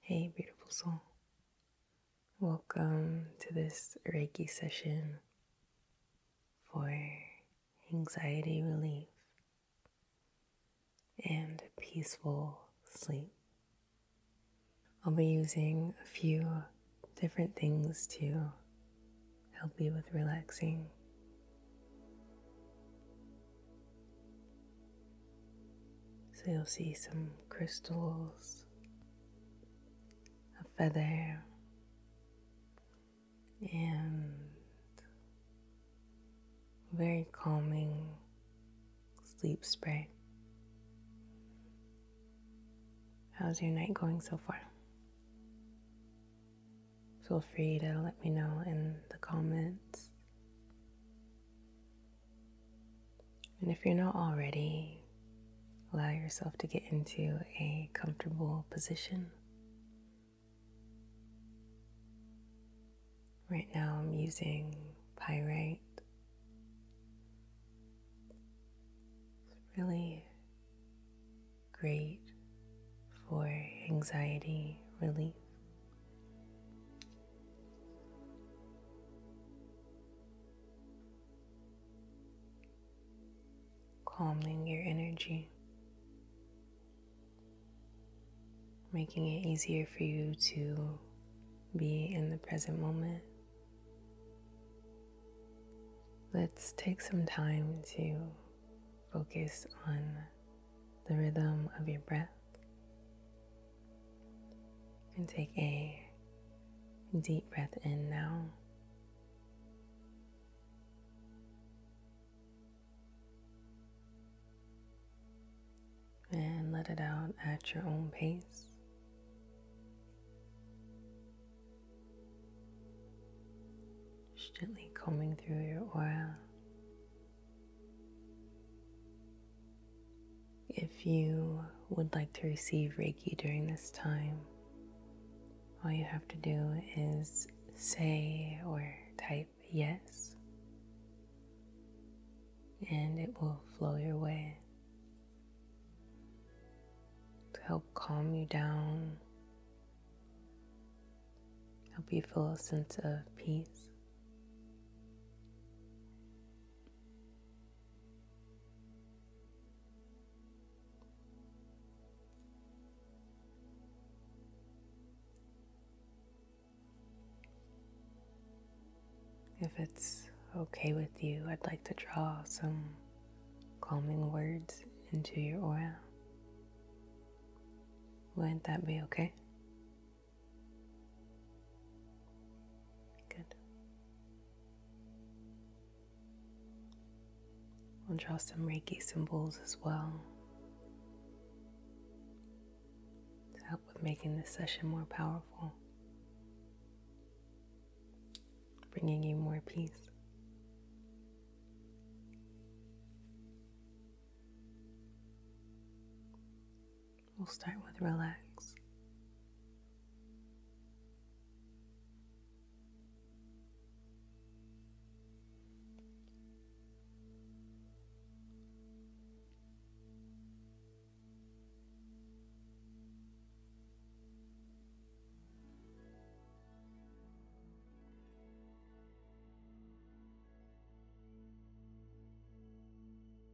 Hey, beautiful soul. Welcome to this Reiki session for anxiety relief and peaceful sleep. I'll be using a few different things to help you with relaxing. So you'll see some crystals, a feather, and very calming sleep spray. How's your night going so far? Feel free to let me know in the comments. And if you're not already, allow yourself to get into a comfortable position. Right now, I'm using pyrite. It's really great for anxiety relief calming your energy, making it easier for you to be in the present moment. Let's take some time to focus on the rhythm of your breath. And take a deep breath in now. And let it out at your own pace. Just gently combing through your aura if you would like to receive Reiki during this time, all you have to do is say or type yes, and it will flow your way to help calm you down, help you feel a sense of peace. If it's okay with you, I'd like to draw some calming words into your aura. Would not that be okay? Good. We'll draw some Reiki symbols as well to help with making this session more powerful, bringing you more peace. We'll start with relax.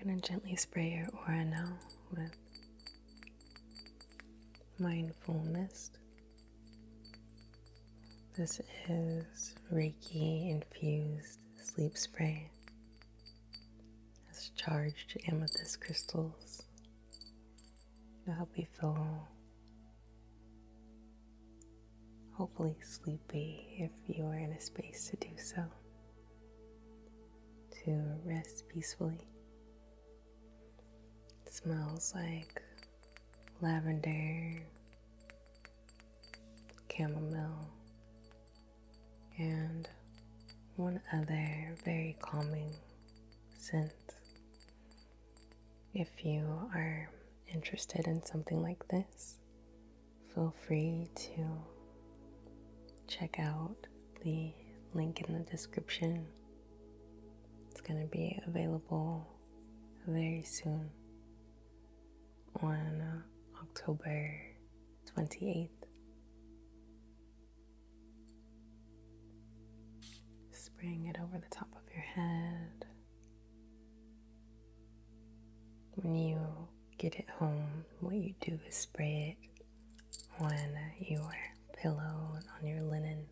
I'm going to gently spray your aura now with mindful mist. This is Reiki infused sleep spray. It's charged amethyst crystals. It'll help you feel hopefully sleepy if you are in a space to do so, to rest peacefully. It smells like lavender, chamomile, and one other very calming scent. If you are interested in something like this, feel free to check out the link in the description. It's going to be available very soon on uh, October 28th. Just it over the top of your head. When you get it home, what you do is spray it on your pillow and on your linen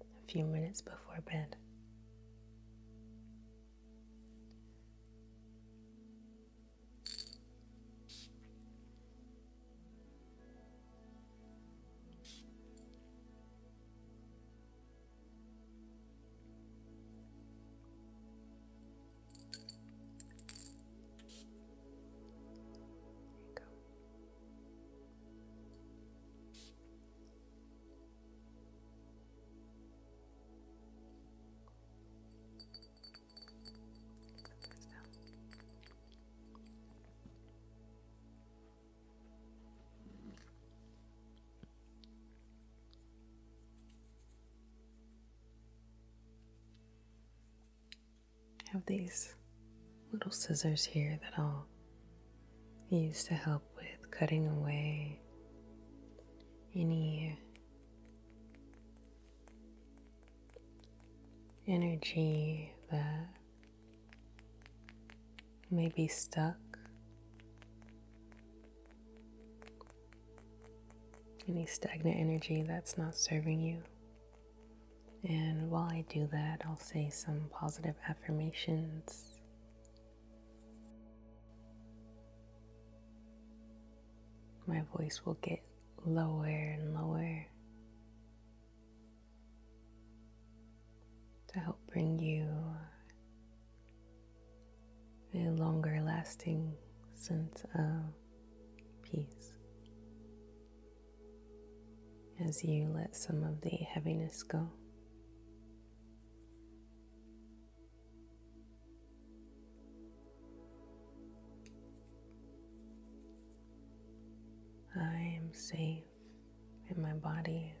a few minutes before bed. There you go. Sometimes down. I have these little scissors here that I'll use to help with cutting away any energy that may be stuck. Any stagnant energy that's not serving you. And while I do that, I'll say some positive affirmations. My voice will get lower and lower to help bring you a longer lasting sense of peace as you let some of the heaviness go. I am safe in my body.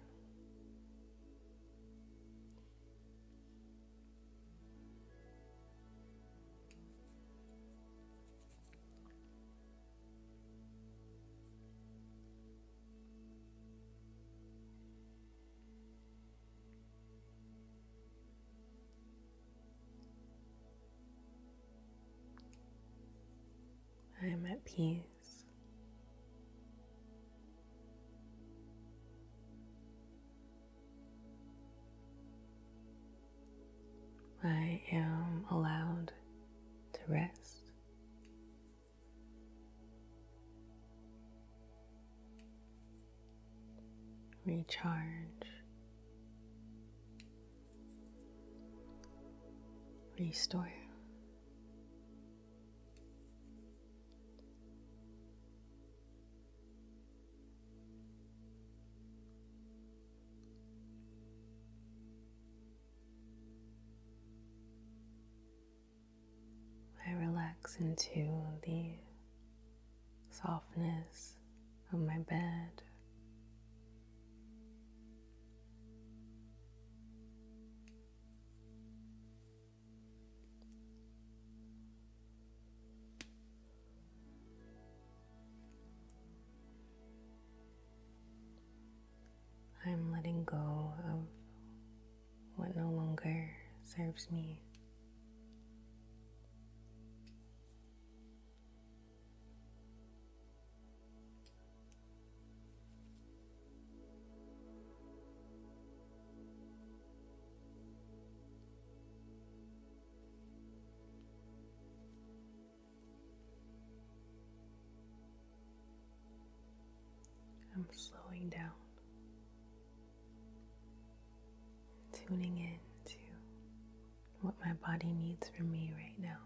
I am at peace. I am allowed to rest. Recharge. Restore. I relax into the softness of my bed. I'm letting go of what no longer serves me. I'm slowing down, tuning in to what my body needs from me right now.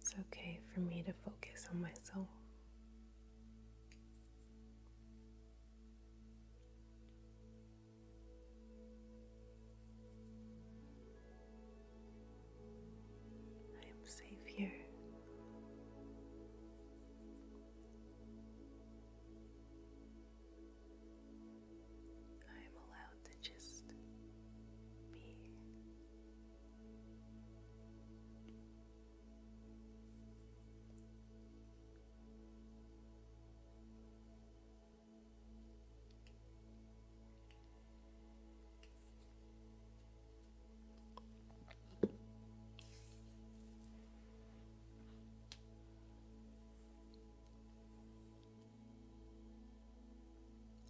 It's okay for me to focus on myself. I am safe here. I am allowed to just be.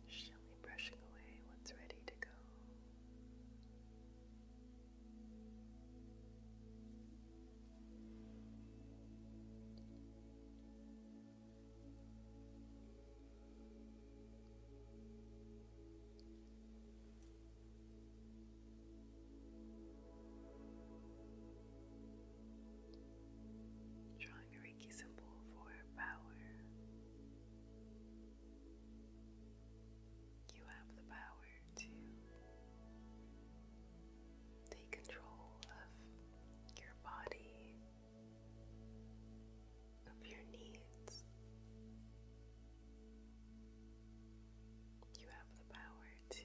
Gently brushing away what's ready to go. Drawing a Reiki symbol for power. You have the power to take control of your body, of your needs. You have the power to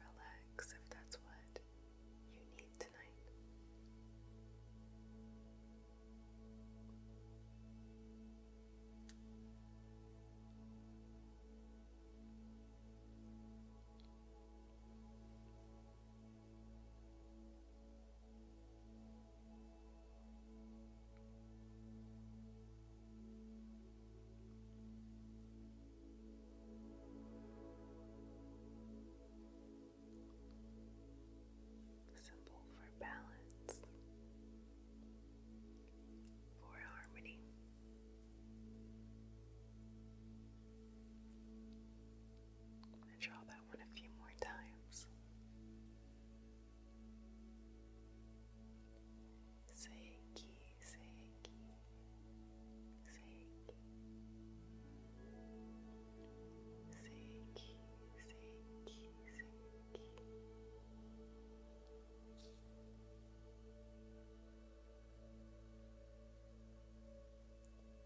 relax if that's what you need tonight. Symbol for balance, for harmony. I'm going to draw that one a few more times. Seiki, Seiki, Seiki. Seiki, Seiki, Seiki. Seiki,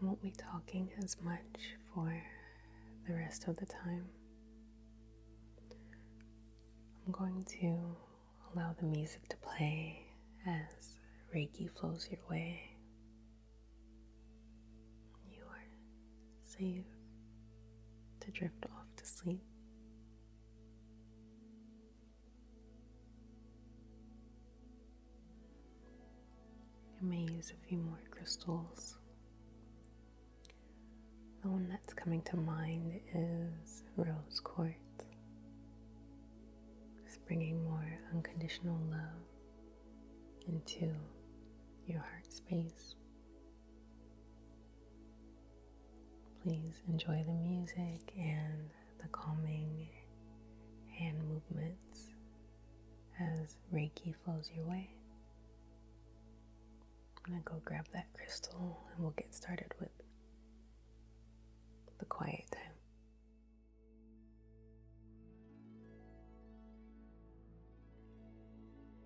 I won't be talking as much for the rest of the time. I'm going to allow the music to play as Reiki flows your way. You are safe to drift off to sleep. I may use a few more crystals. The one that's coming to mind is rose quartz, just bringing more unconditional love into your heart space. Please enjoy the music and the calming hand movements as Reiki flows your way. I'm gonna go grab that crystal and we'll get started with the quiet time.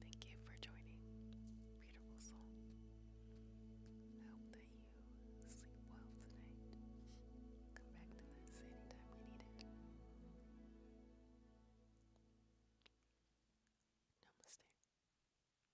Thank you for joining, beautiful soul. I hope that you sleep well tonight. Come back to this anytime you need it. Namaste.